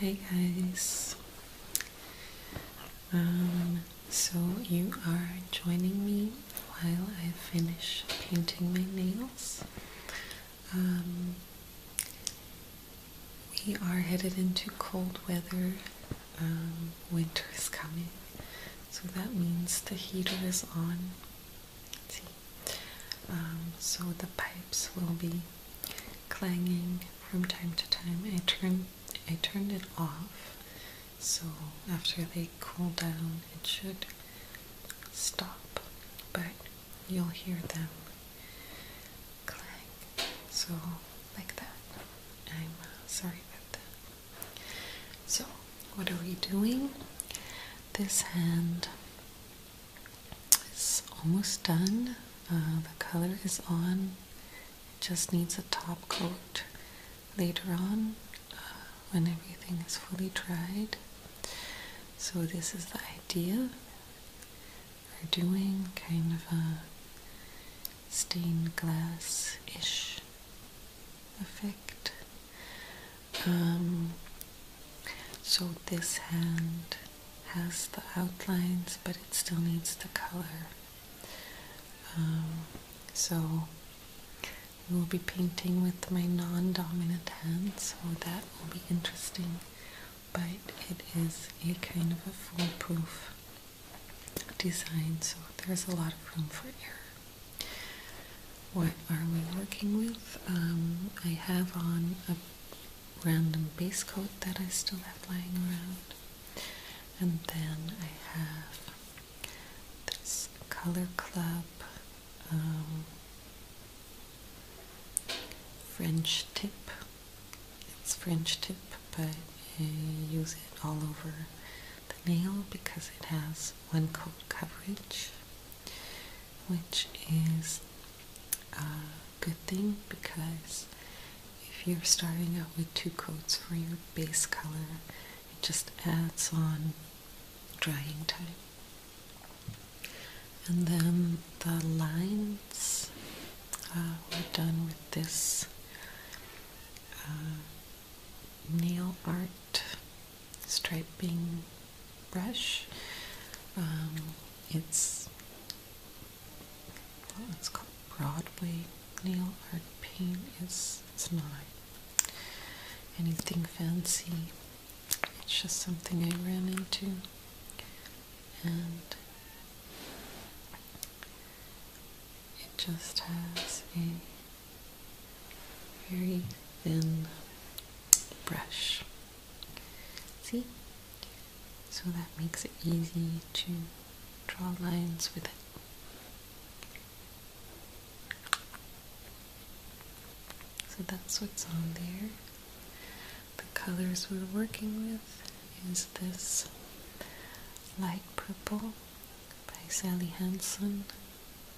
Hi guys. Um, so you are joining me while I finish painting my nails. Um, we are headed into cold weather. Um, winter is coming, so that means the heater is on. Um, so the pipes will be clanging from time to time. I turned I turned it off, so after they cool down, it should stop. But you'll hear them clang. So like that. I'm uh, sorry about that. So what are we doing? This hand it's almost done. Uh, the color is on. It just needs a top coat later on uh, when everything is fully dried. So this is the idea. We're doing kind of a stained glass-ish effect. Um, so this hand has the outlines, but it still needs the color. Um, so we will be painting with my non-dominant hand, so that will be interesting. But it is a kind of a foolproof design, so there's a lot of room for error. What are we working with? Um, I have on a random base coat that I still have lying around. And then I have this Color Club um, French tip. It's French tip, but I use it all over the nail because it has one coat coverage which is a good thing because if you're starting out with two coats for your base color, it just adds on drying time. And then the lines uh, we are done with this uh, nail art striping brush. Um, it's well, called Broadway nail art paint. It's it's not anything fancy. It's just something I ran into, and it just has a very thin brush. See, so that makes it easy to draw lines with it. So that's what's on there. The colors we're working with is this light purple by Sally Hansen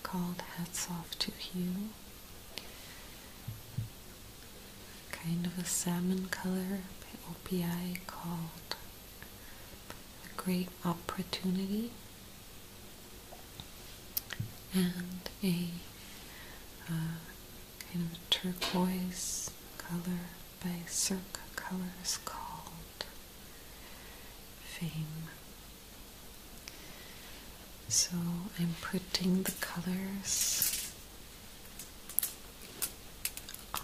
called Hats Off to Hugh kind of a salmon color by OPI called A Great Opportunity and a uh, kind of turquoise color by Circa Colors called Fame. So I'm putting the colors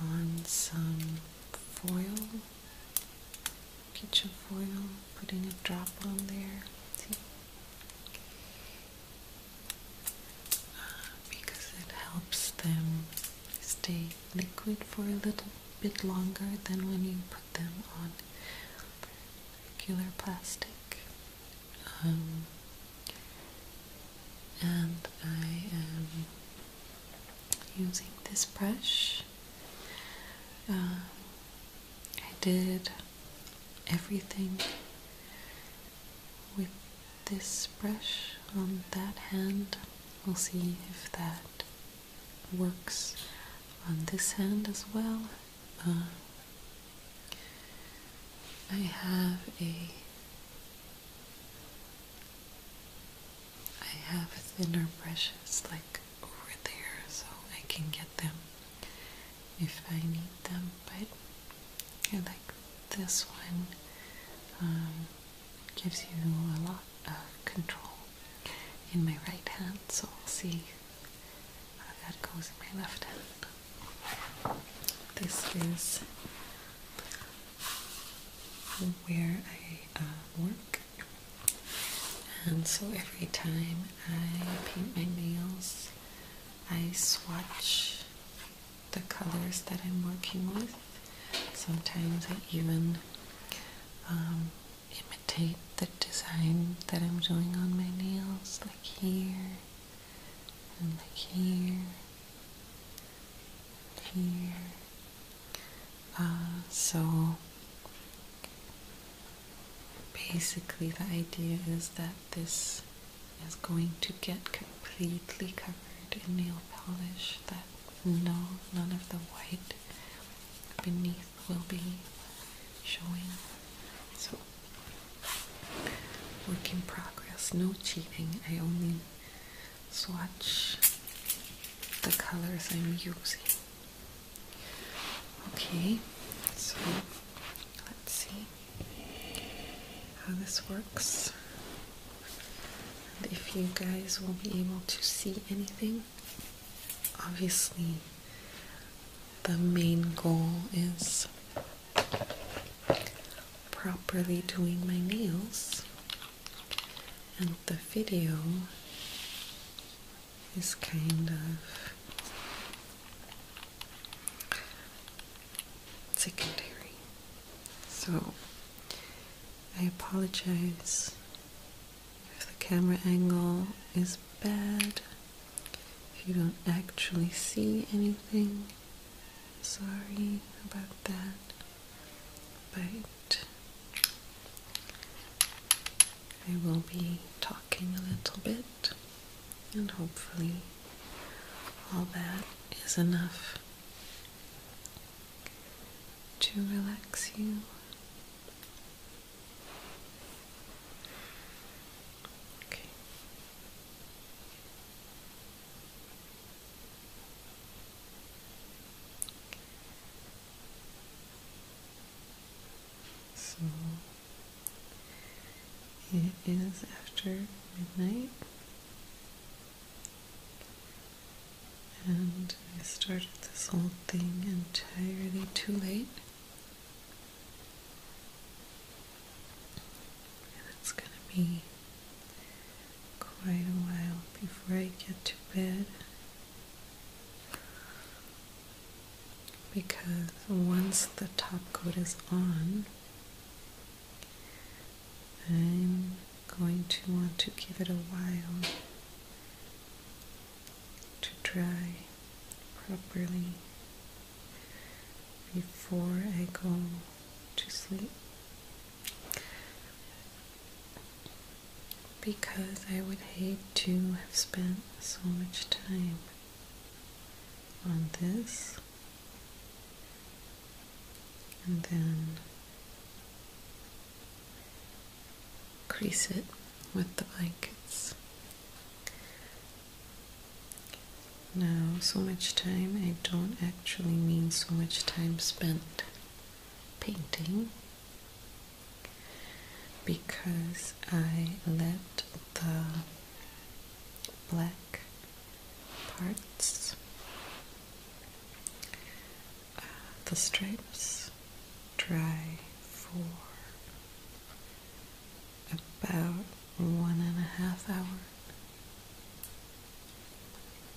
on some foil, kitchen foil, putting a drop on there. See? Uh, because it helps them stay liquid for a little bit longer than when you put them on regular plastic. Um, and I am using this brush. Uh, I did everything with this brush on that hand. We'll see if that works on this hand as well. Uh, I have a I have thinner brushes like over there so I can get them if I need them but I like this one um, gives you a lot of control in my right hand so we'll see how that goes in my left hand this is where I uh, work, and so every time I paint my nails, I swatch the colors that I'm working with. Sometimes I even um, imitate the design that I'm doing on my nails, like here and like here, here. Uh, so basically, the idea is that this is going to get completely covered in nail polish. That no, none of the white beneath will be showing. So work in progress. No cheating. I only swatch the colors I'm using. Okay, so let's see how this works. if you guys will be able to see anything, obviously the main goal is properly doing my nails, and the video is kind of secondary. So I apologize if the camera angle is bad, if you don't actually see anything sorry about that, but I will be talking a little bit, and hopefully, all that is enough to relax you. Okay. So it is after midnight, and I started this whole thing entirely too late. And it's gonna be quite a while before I get to bed because once the top coat is on, I'm going to want to give it a while to dry properly before I go to sleep because I would hate to have spent so much time on this and then crease it with the blankets. Now, so much time, I don't actually mean so much time spent painting because I let the black parts, uh, the stripes, dry for about one and a half hours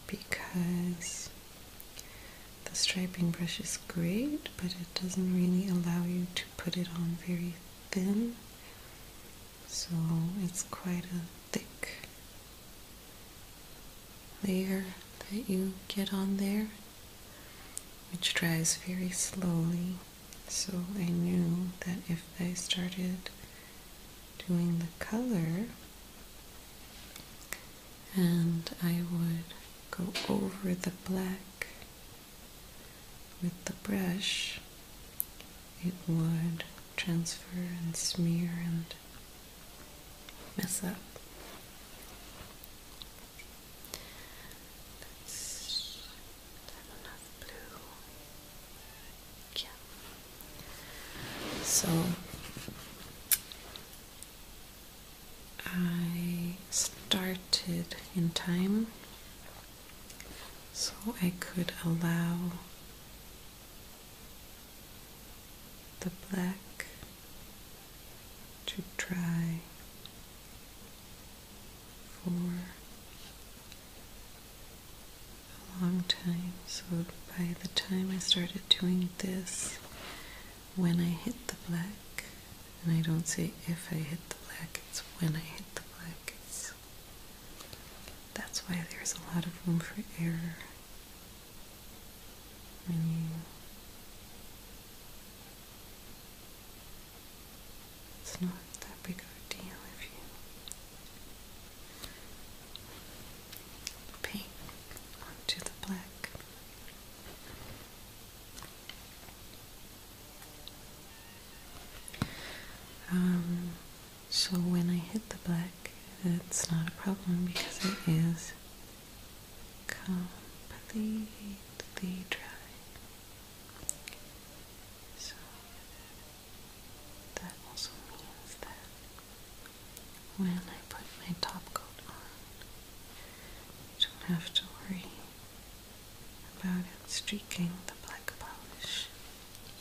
because the striping brush is great but it doesn't really allow you to put it on very thin so it's quite a thick layer that you get on there which dries very slowly so I knew that if I started doing the color and I would go over the black with the brush it would transfer and smear and mess up blue. Yeah. So I started in time so I could allow the black to dry for a long time. So by the time I started doing this, when I hit the black, and I don't say if I hit the black, it's when I hit the black. It's, that's why there's a lot of room for error when you it's not that big a deal if you paint onto the black. Um, so when I hit the black, it's not a problem because it is completely dry. So that also means that when I put my top coat on, I don't have to worry about it streaking the black polish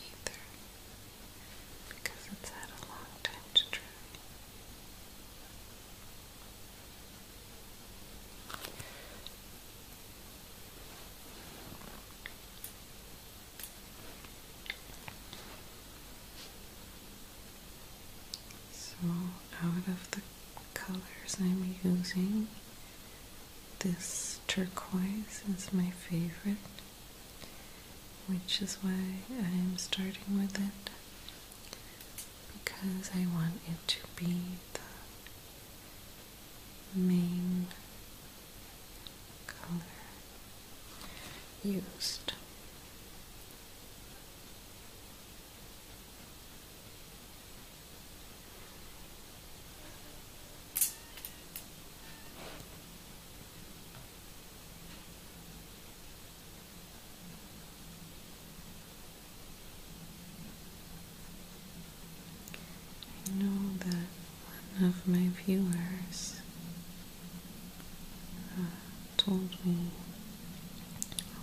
either because it's had a long time to dry. So, out of the colors I'm using, this turquoise is my favorite, which is why I'm starting with it because I want it to be the main color used. I know that one of my viewers uh, told me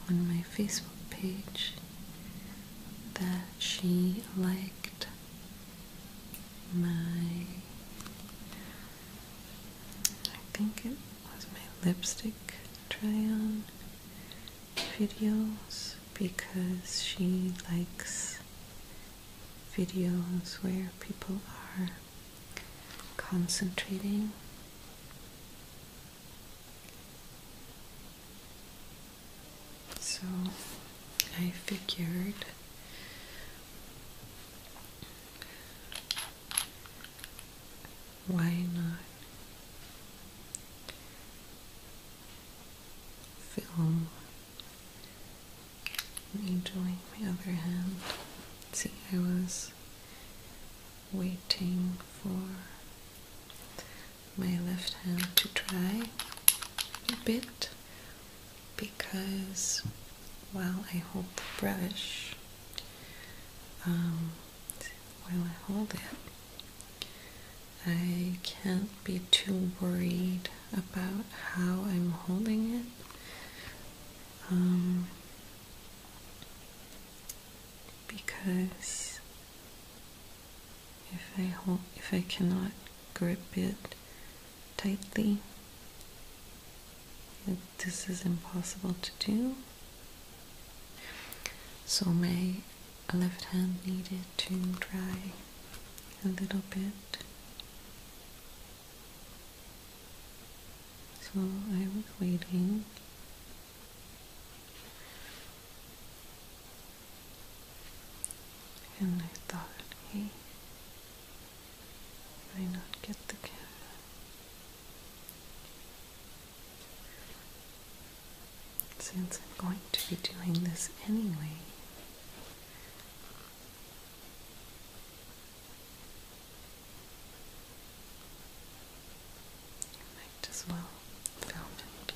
on my Facebook page that she liked my. I think it was my lipstick try on videos because she likes videos where people are concentrating so I figured why not film rejoin my other hand. See, I was waiting for my left hand to dry a bit because while I hold the brush, um, while I hold it, I can't be too worried about how I'm holding it. Um, because if I hold, if I cannot grip it tightly, this is impossible to do. So my left hand needed to dry a little bit so I was waiting. And I thought, he might not get the camera? Since I'm going to be doing this anyway, you might as well film it.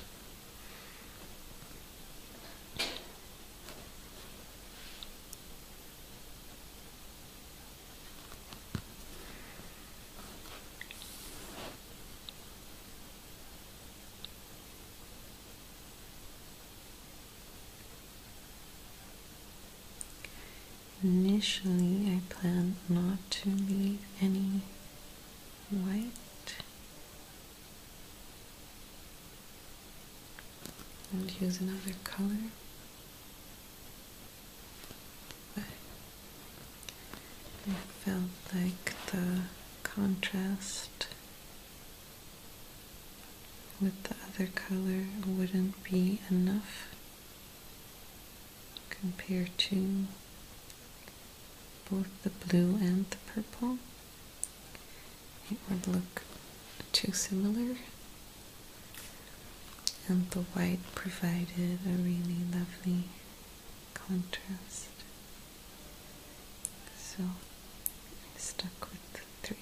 Initially, I plan not to leave any white. And use another color, but I felt like the contrast with the other color wouldn't be enough compared to both the blue and the purple. It would look too similar. And the white provided a really lovely contrast. So I stuck with the three.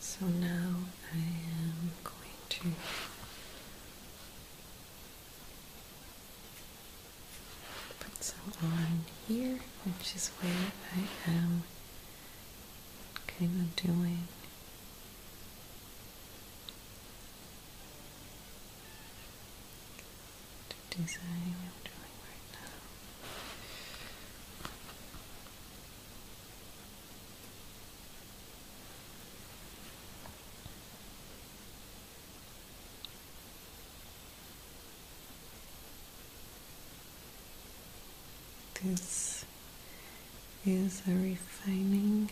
So now I am going to put some on here, which is where I am kind of doing to design what I'm doing right now. This is a refining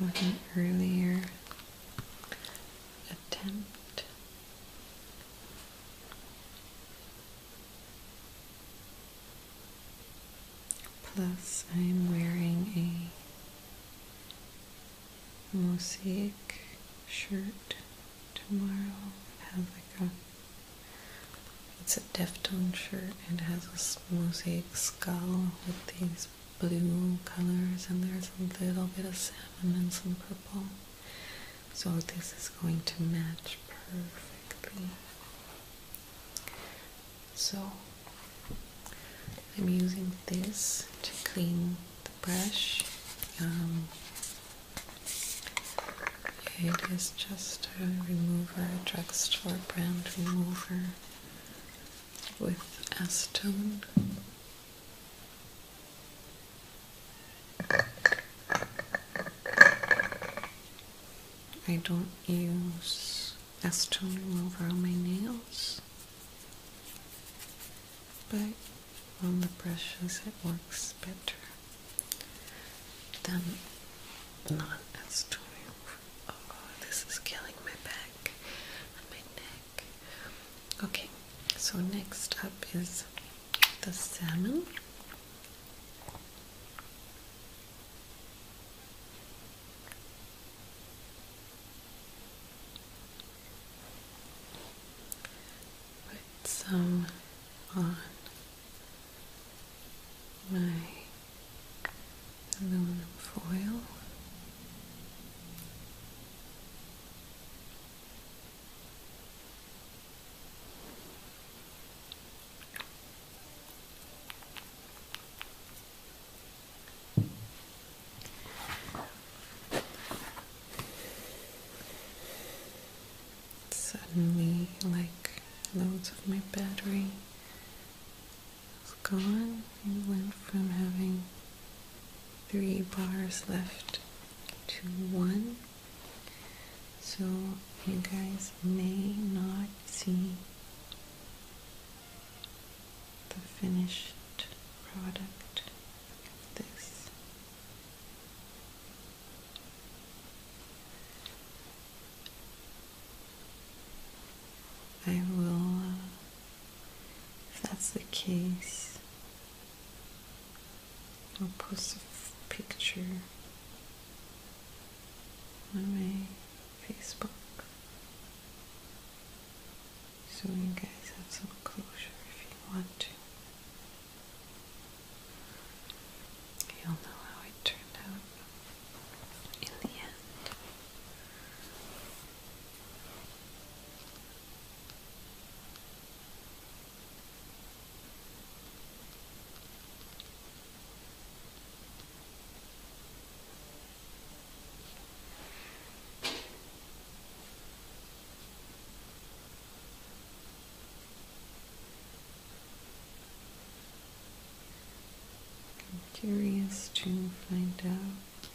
with an earlier attempt. Plus, I'm wearing a mosaic shirt tomorrow. It like a it's a Deftone shirt. It has a mosaic skull with these there's blue colors and there's a little bit of salmon and some purple. So this is going to match perfectly. So I'm using this to clean the brush. Um, it is just a remover, a drugstore brand remover with acetone. I don't use acetone remover on my nails, but on the brushes it works better than not acetone Oh, this is killing my back and my neck. Okay, so next up is the salmon. Put some on my aluminum foil. Suddenly, like loads of my battery it was gone. We went from having three bars left to one. So you guys may not see the finished product this. I will uh, if that's the case, I'll post a picture on my Facebook so you guys have some closure if you want to. You'll know how it turned out in the end. I'm curious to find out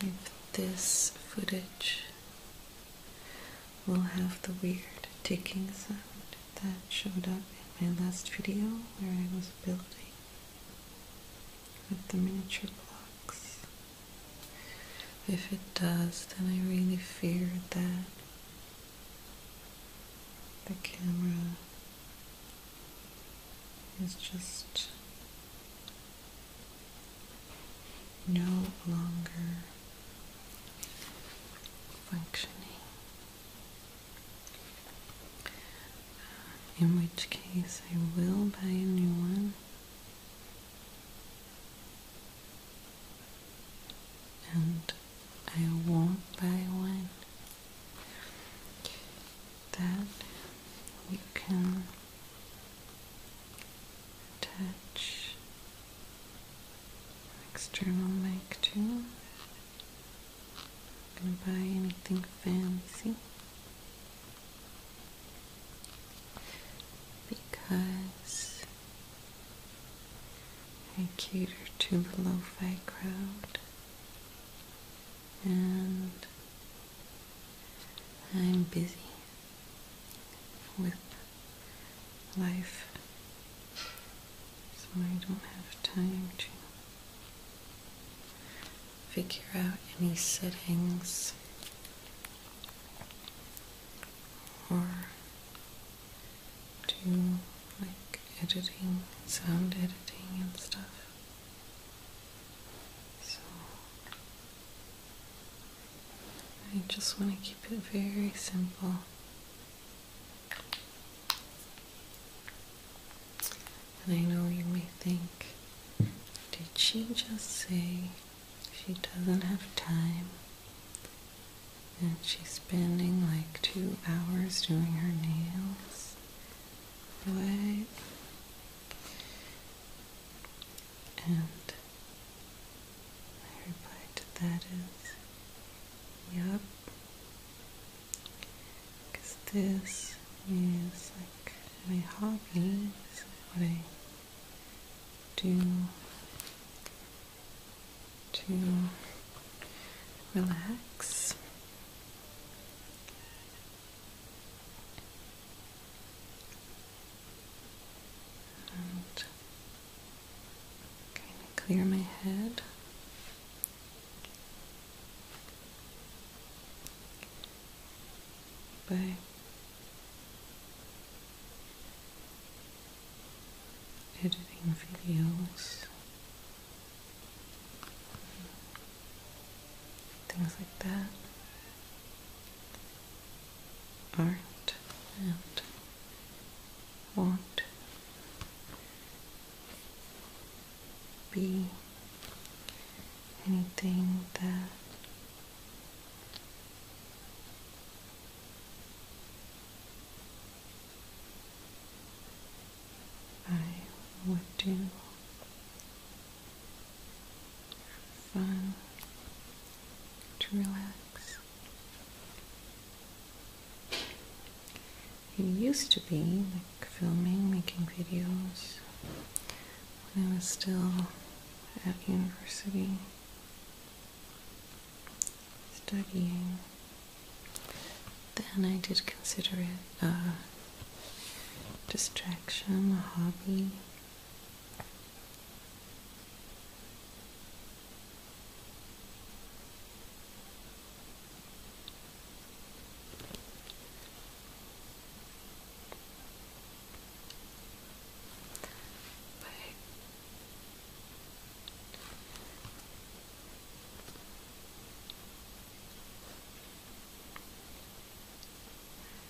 if this footage will have the weird ticking sound that showed up in my last video where I was building with the miniature blocks. If it does, then I really fear that the camera is just no longer functioning. In which case, I will buy a new one and I won't buy one that you can attach an external mic to. I'm gonna buy anything fancy because I cater to the lo-fi crowd and I'm busy with life, so I don't have time to figure out any settings or do like editing, sound editing, and stuff. So I just want to keep it very simple. And I know you may think, did she just say she doesn't have time? And she's spending like two hours doing her nails. But and my reply that is, yup, because this is like my hobby, this is what I do to relax clear my head. By editing videos, things like that. Aren't and want be anything that I would do fun to relax. It used to be like filming, making videos when I was still at university studying. Then I did consider it uh, distraction, a hobby. But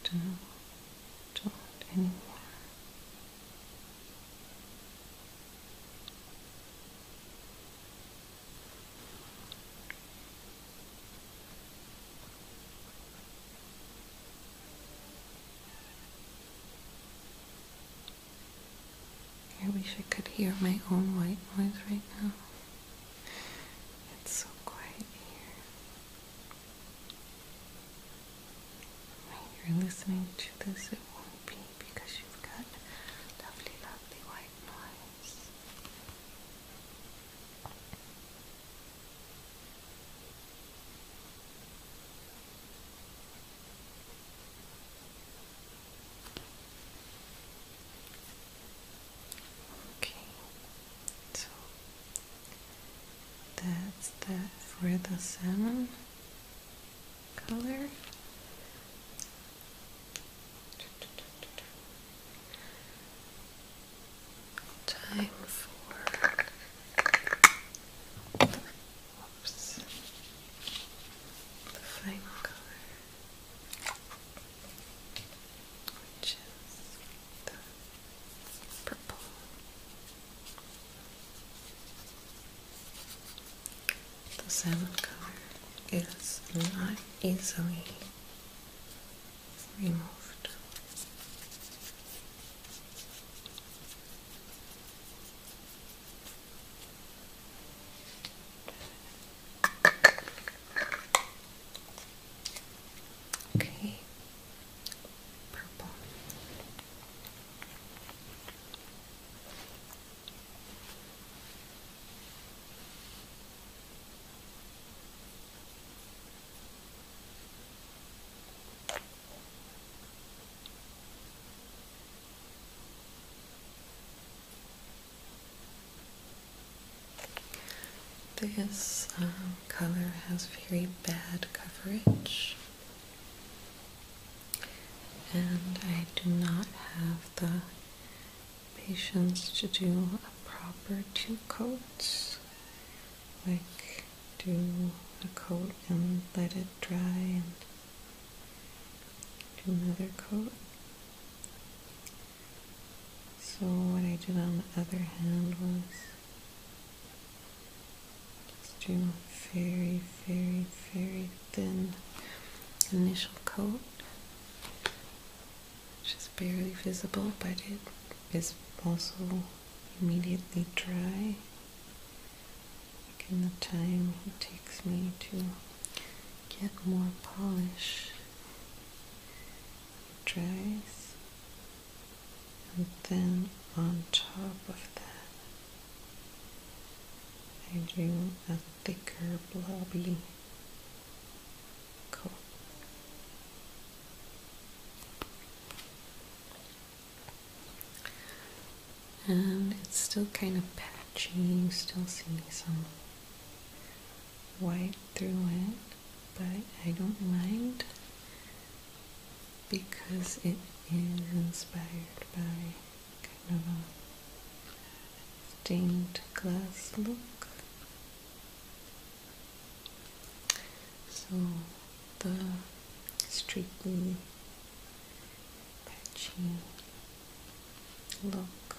don't talk anymore. I wish I could hear my own white noise right now. It's so quiet here. When you're listening to this, it won't be because you've got lovely, lovely white noise. Okay, so that's that for the salmon color. Time for the fine color which is the purple. The salmon color is not easily removed. Okay. Purple. This um, color has very bad coverage, and I do not have the patience to do a proper two coats, like do a coat and let it dry and do another coat. So what I did on the other hand was just do a very, very, very thin initial coat, which is barely visible, but it is also immediately dry. Like in the time it takes me to get more polish dries and then on top of that I do a thicker blobby coat and it's still kind of patchy you still see some white through it, but I don't mind because it is inspired by kind of a stained glass look. So the streaky, patchy look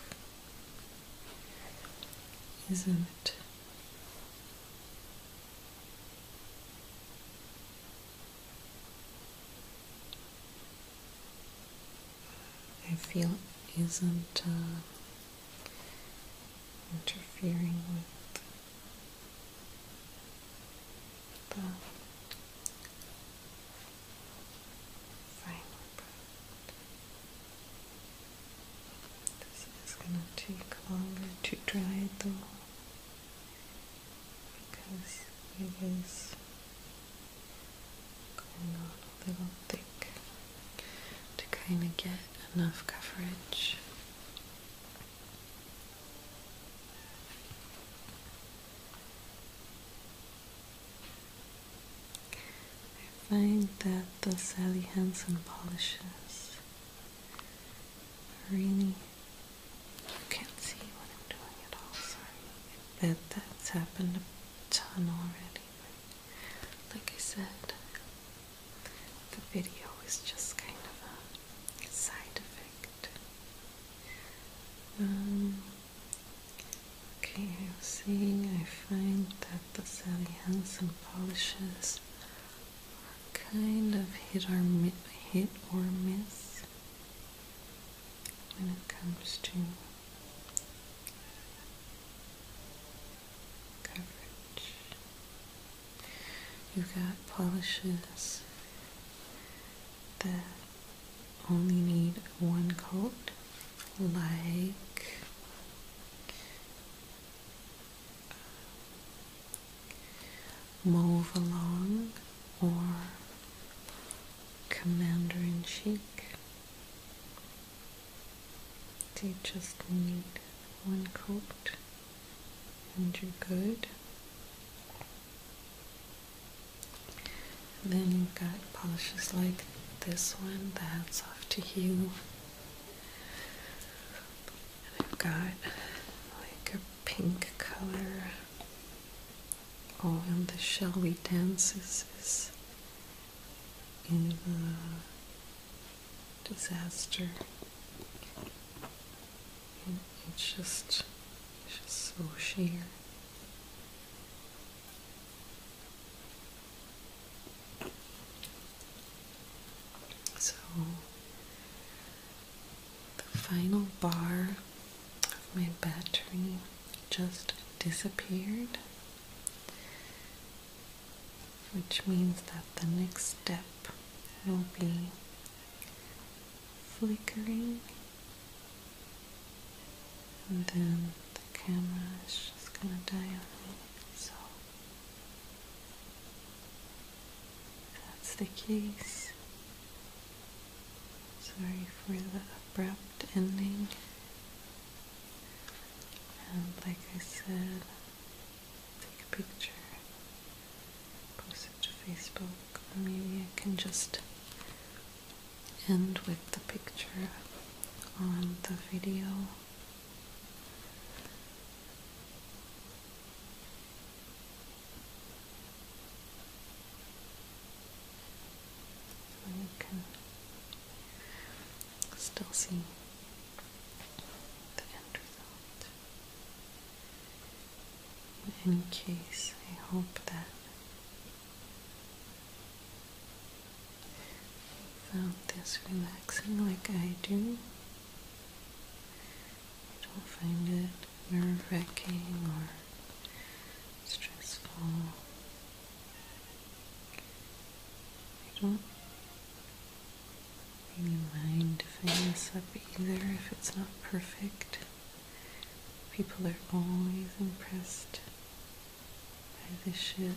isn't I feel isn't uh, interfering with the final this is gonna take longer to dry though because it is going on a little thick to kind of get enough coverage. I find that the Sally Hansen polishes really you can't see what I'm doing at all, sorry. I bet that's happened a ton already. like I said, the video is just kind of a side effect. Um, okay, I was saying I find that the Sally Hansen polishes kind of hit or hit or miss when it comes to coverage. You've got polishes that only need one coat, like move along or commander in chic. You just need one coat and you're good. then you've got polishes like this one that's off to hue and I've got like a pink color. Oh, and the Shall We Dances is in the disaster. And it's just, it's just so sheer. So, the final bar of my battery just disappeared, which means that the next step will be flickering, and then the camera is just gonna die on me. So, if that's the case. Sorry for the abrupt ending. And like I said, take a picture, post it to Facebook, or maybe I can just end with the picture on the video you can still see the end In any case, I hope that Find this relaxing like I do, you don't find it nerve-wracking or stressful. I don't mind if I mess up either if it's not perfect. People are always impressed by this shit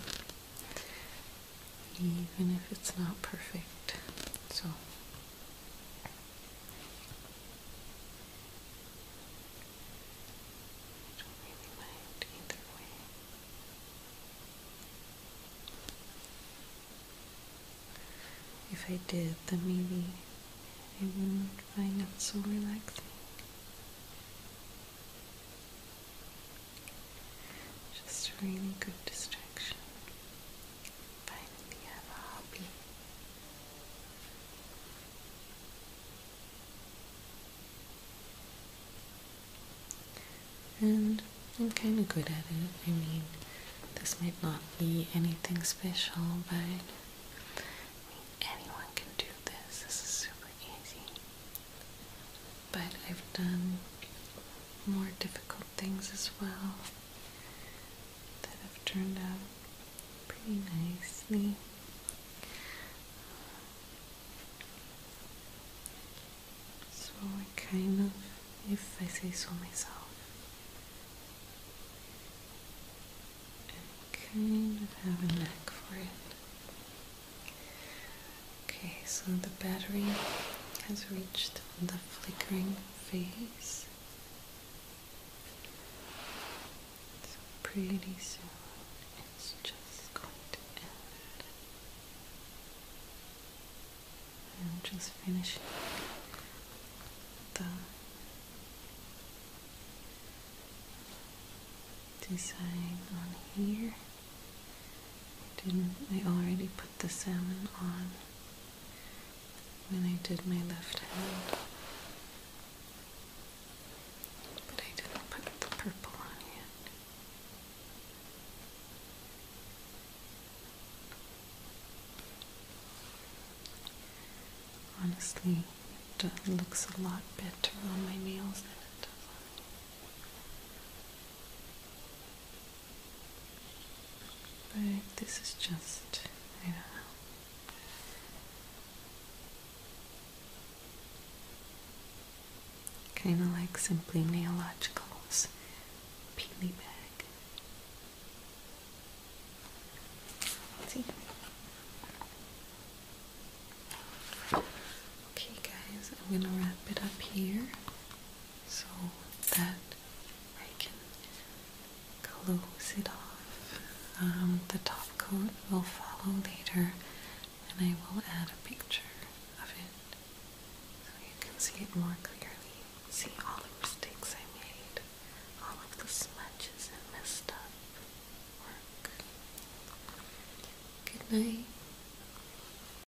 even if it's not perfect. So I don't really mind either way. If I did, then maybe I wouldn't find it so relaxing. Just a really good distraction. Finally have a hobby. And I'm kind of good at it. I mean, this might not be anything special, but anyone can do this. This is super easy but I've done more difficult things as well that have turned out pretty nicely. So I kind of, if I say so myself, kind of have a knack for it. Okay, so the battery has reached the flickering phase. So pretty soon it's just going to end. I'm just finishing the design on here. Didn't I already put the salmon on when I did my left hand? But I didn't put the purple on yet. Honestly, it looks a lot better on my nails than it does on me. But this is just, I know. Kind of like Simply Neological's Peely Bag. see. Okay, guys, I'm gonna wrap it up here so that I can close it off. Um, the top coat will follow later and I will add a picture of it so you can see it more clearly. See all the mistakes I made, all of the smudges and messed up work. Good night.